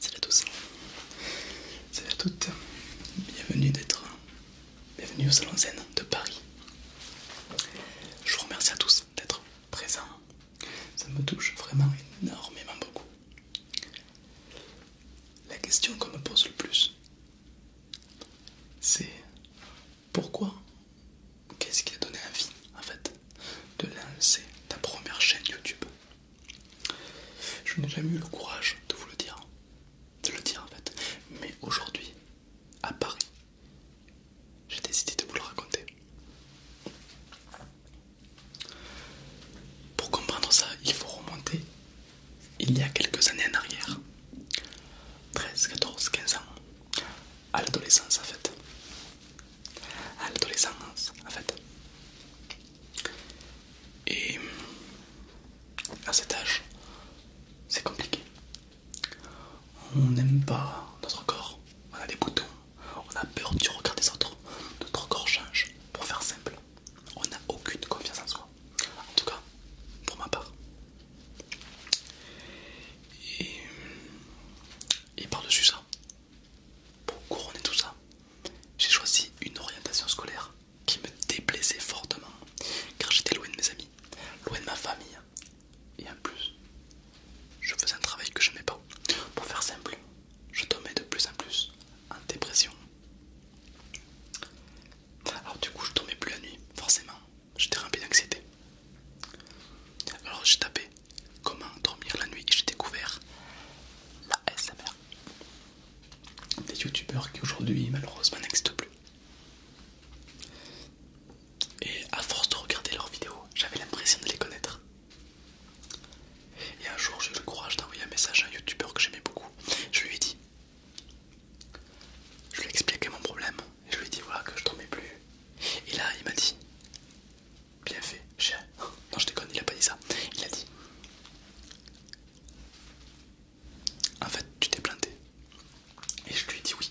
Salut à tous, salut à toutes, bienvenue d'être, bienvenue au Salon Zen de Paris. Je vous remercie à tous d'être présent. Ça me touche vraiment énormément beaucoup. La question qu'on me pose le plus, c'est pourquoi Qu'est-ce qui a donné envie, en fait, de lancer ta première chaîne YouTube Je n'ai jamais eu le courage de vous le dire, de le dire en fait, mais aujourd'hui, à Paris, j'ai décidé de vous le raconter. Pour comprendre ça, il faut remonter il y a quelques années en arrière. 13, 14, 15 ans. À l'adolescence en fait. À l'adolescence en fait. Et à cet âge, c'est compliqué. On n'aime pas notre corps, on a des boutons, on a peur du regard des autres, notre corps change. Pour faire simple, on n'a aucune confiance en soi. En tout cas, pour ma part. Et, par-dessus ça, pour couronner tout ça, j'ai choisi une orientation scolaire qui me déplaisait fortement car j'étais loin de mes amis, loin de ma famille et en plus, je faisais un travail que je n'aimais pas. Pour faire simple, je tombais de plus en plus en dépression. Alors du coup, je tombais plus la nuit, forcément. J'étais rempli d'anxiété. Alors j'ai tapé comment dormir la nuit et j'ai découvert la SMR. Des youtubeurs qui aujourd'hui malheureusement n'existent plus. Et à force de regarder leurs vidéos, j'avais l'impression de les connaître. Et un jour, j'ai eu le courage d'envoyer un message à un youtubeur que j'aimais beaucoup. Je lui ai dit, je lui ai expliqué mon problème et je lui ai dit voilà que je dormais plus. Et là, il m'a dit, bien fait, chien. Non, je déconne, il a pas dit ça. Il a dit, en fait, tu t'es planté. Et je lui ai dit oui.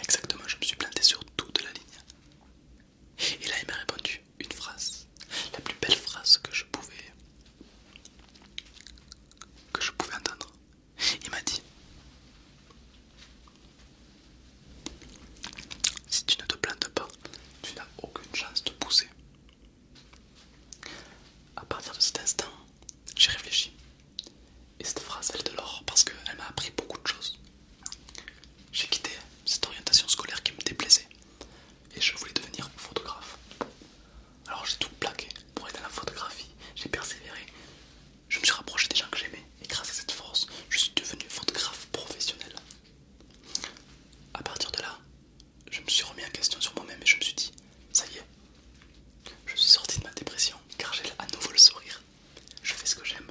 Exactement, je me suis planté sur de la ligne. Et là, il m'a répondu une phrase, la plus belle phrase que je pouvais que je pouvais entendre. Il m'a dit Si tu ne te plantes pas, tu n'as aucune chance de pousser. À partir de cet instant, j'ai réfléchi et cette phrase elle de l'or parce qu'elle m'a appris beaucoup de choses. J'ai quitté cette orientation scolaire qui me déplaisait et je voulais devenir photographe. Alors j'ai tout plaqué pour être dans la photographie, j'ai persévéré, je me suis rapproché des gens que j'aimais et grâce à cette force, je suis devenu photographe professionnel. À partir de là, je me suis remis en question sur moi-même et je me suis dit ça y est, je suis sorti de ma dépression car j'ai à nouveau le sourire. Je fais ce que j'aime.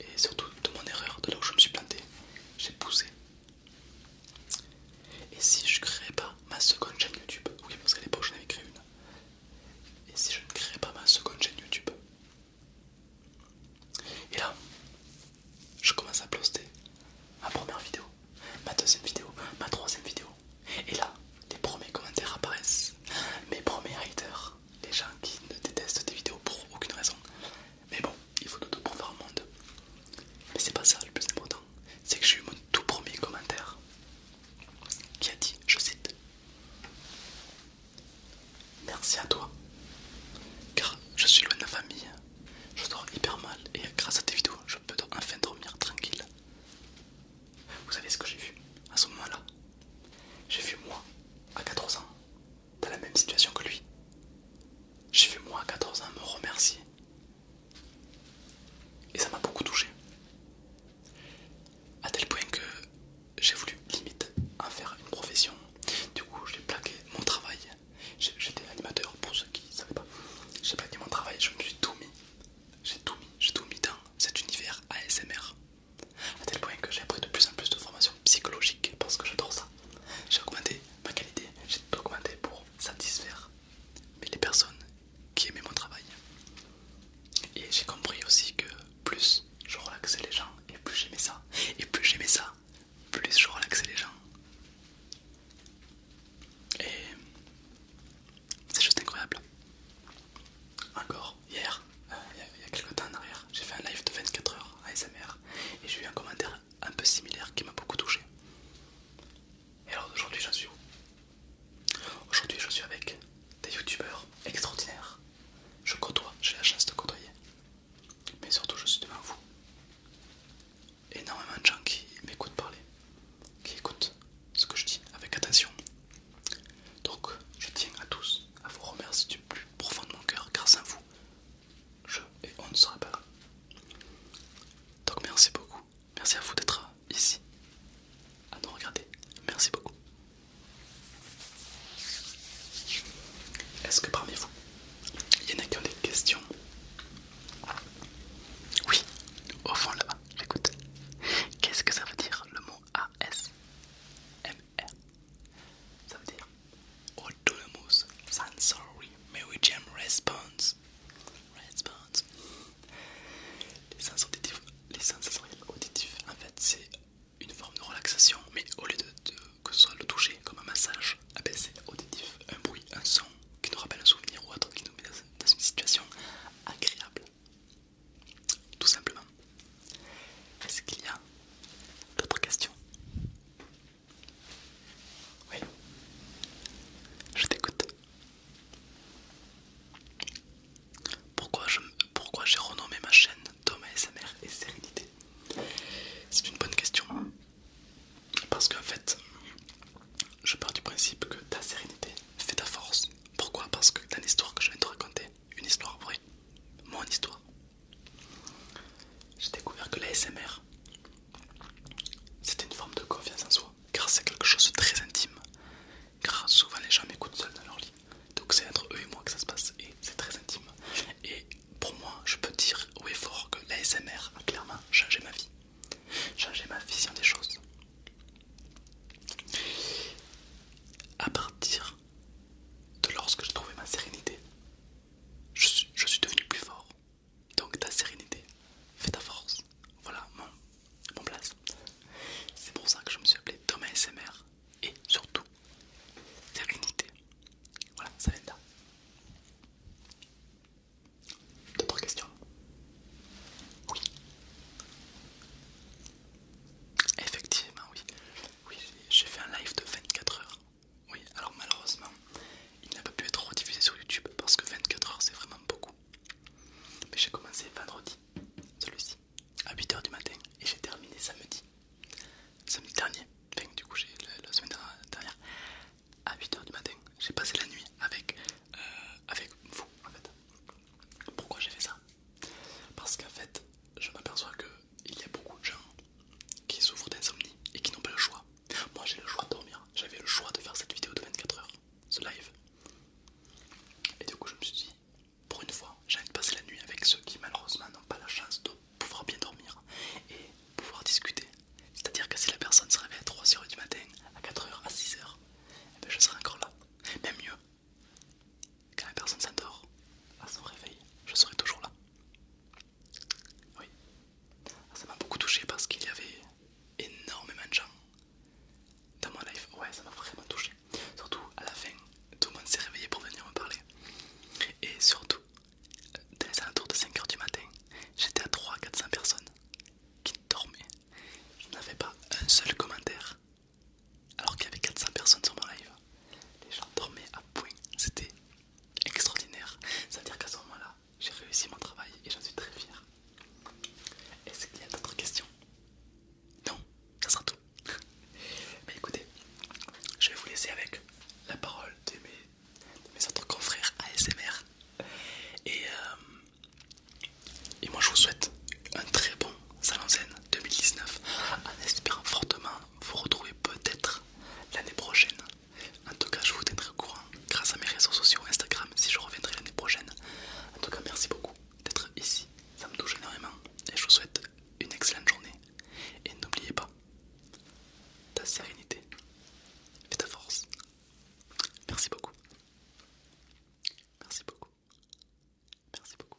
Et surtout de mon erreur, de là où je me suis planté, j'ai poussé. Et si je créais pas ma seconde chaîne YouTube, oui parce qu'à l'époque j'en avais créé une. Et si je ne créais pas ma seconde chaîne YouTube Et là, je commence à poster ma première vidéo ma deuxième vidéo, ma troisième vidéo. Et là, les premiers commentaires apparaissent. Mes premiers haters, les gens qui ne détestent tes vidéos pour aucune raison. Mais bon, il faut tout pour faire un monde. Mais c'est pas ça le plus important, c'est que j'ai eu mon tout premier commentaire qui a dit, je cite, Merci à toi, car je suis loin de ma famille je dors hyper mal et grâce à tes vidéos je peux enfin dormir tranquille. Vous savez ce que j'ai vu à ce moment-là J'ai vu moi à 14 ans, dans la même situation que lui. J'ai vu moi à 14 ans me remercier. Et ça m'a beaucoup touché. à tel point que j'ai voulu limite en faire une profession. Du coup, j'ai plaqué mon travail J'étais animateur pour ceux qui ne savaient pas. J'ai pas dit mon travail, je me suis tout mis. J'ai tout mis, j'ai tout mis dans cet univers ASMR. A tel point que j'ai appris de plus en plus de formations psychologiques parce que j'adore ça. J'ai augmenté ma qualité, j'ai tout augmenté pour satisfaire les personnes qui aimaient mon travail. Et j'ai compris aussi que plus je relaxais les gens et plus j'aimais ça. Et plus j'aimais ça, plus je relaxe les gens. Et c'est juste incroyable. Encore hier, euh, il, y a, quelques temps en arrière, j'ai fait un live de 24 heures à SMR et j'ai eu un commentaire un peu similaire qui m'a beaucoup touché. Et alors aujourd'hui j'en suis où Aujourd'hui je suis avec des youtubeurs extraordinaires. Je côtoie, j'ai la chance de côtoyer mais surtout je suis devant vous. Énormément de gens qui m'écoutent parler, qui écoutent ce que je dis avec attention. Donc je tiens à tous à vous remercier du plus profond de mon cœur grâce à vous, je on ne serait pas là. Donc merci beaucoup, merci à vous d'être ici, à nous regarder, merci beaucoup. Est-ce que parmi vous, il y en a qui ont des questions. Oui, au fond là-bas, Qu'est-ce que ça veut dire le mot ASMR Ça veut dire Autonomous Sensory Meridian Response. Response. Les sens auditifs, les sens auditives. auditifs, en fait, c'est une forme de relaxation, mais au lieu de que ce soit le toucher, comme un massage, baisser auditif, un bruit, un son qui nous rappelle un souvenir ou autre, qui nous met dans une situation agréable. Tout simplement. Est-ce qu'il y a d'autres questions Oui. Je t'écoute. Pourquoi j'ai pourquoi renommé ma chaîne Thomas ASMR et sérénité C'est une bonne question. Parce qu'en fait, je pars du principe que ta sérénité fait ta force. Pourquoi Parce que dans l'histoire que je viens de te raconter, une histoire vraie, mon histoire, j'ai découvert que la SMR, c'était une forme de confiance en soi, car c'est quelque chose de très intime, car souvent les gens m'écoutent seuls dans leur lit. Donc c'est entre eux et moi que ça se passe et c'est très intime. Et pour moi, je peux dire oui et fort que l'ASMR a clairement changé ma vie, changé ma vision des choses. À partir de lorsque j'ai trouvé ma sérénité, je suis, devenu plus fort. Donc ta sérénité fait ta force. Voilà mon, place. C'est pour ça que je me suis appelé Thomas SMR et surtout sérénité. Voilà, ça vient de là. D'autres questions Oui. Effectivement, oui. Oui, j'ai fait un live de 24 heures. Oui, alors malheureusement, il n'a pas pu être rediffusé sur YouTube parce que 24 heures c'est vraiment beaucoup. Mais j'ai commencé vendredi, celui-ci à 8h du matin et j'ai terminé samedi. Samedi dernier, enfin, du coup j'ai la, semaine dernière, à 8h du matin, j'ai passé la nuit avec, euh, avec vous en fait. Pourquoi j'ai fait ça Parce qu'en fait, je m'aperçois qu'il y a beaucoup de gens qui souffrent d'insomnie et qui n'ont pas le choix. Moi j'ai le choix de dormir, j'avais le choix de faire cette vidéo de 24h, ce live. Et du coup je me suis dit, pour une fois, j'ai envie de passer la nuit avec ceux qui malheureusement n'ont pas la chance de pouvoir bien dormir et pouvoir discuter. C'est-à-dire que si la personne se réveille à 3h du matin, à 4h, à 6h, eh ben, je serai encore là. Même mieux, quand la personne s'endort, à son réveil, je serai toujours là. Oui, ah, ça m'a beaucoup touché parce qu'il y avait énormément de gens dans mon live. Ouais, ça m'a vraiment touché. Surtout à la fin, tout le monde s'est réveillé pour venir me parler. Et surtout, dans les alentours de 5h du matin, j'étais à 300-400 personnes qui dormaient. Je n'avais pas un seul commentaire alors qu'il y avait 400 personnes sur mon live. Les gens dormaient à point. C'était extraordinaire. c'est à dire qu'à ce moment-là, j'ai réussi mon travail et j'en suis très fier. Est-ce qu'il y a d'autres questions non, ça sera tout. Mais écoutez, je vais vous laisser avec la parole de mes, mes autres confrères ASMR. Et, euh, et moi je vous souhaite un très bon Salon scène 2019 en espérant fortement vous retrouver peut-être l'année prochaine. En tout cas, je vous tiendrai au courant grâce à mes réseaux sociaux Instagram si je reviendrai l'année prochaine. En tout cas, merci beaucoup d'être ici, ça me touche énormément et je vous souhaite une excellente journée. Et n'oubliez pas, ta sérénité et ta force. Merci beaucoup. Merci beaucoup. Merci beaucoup.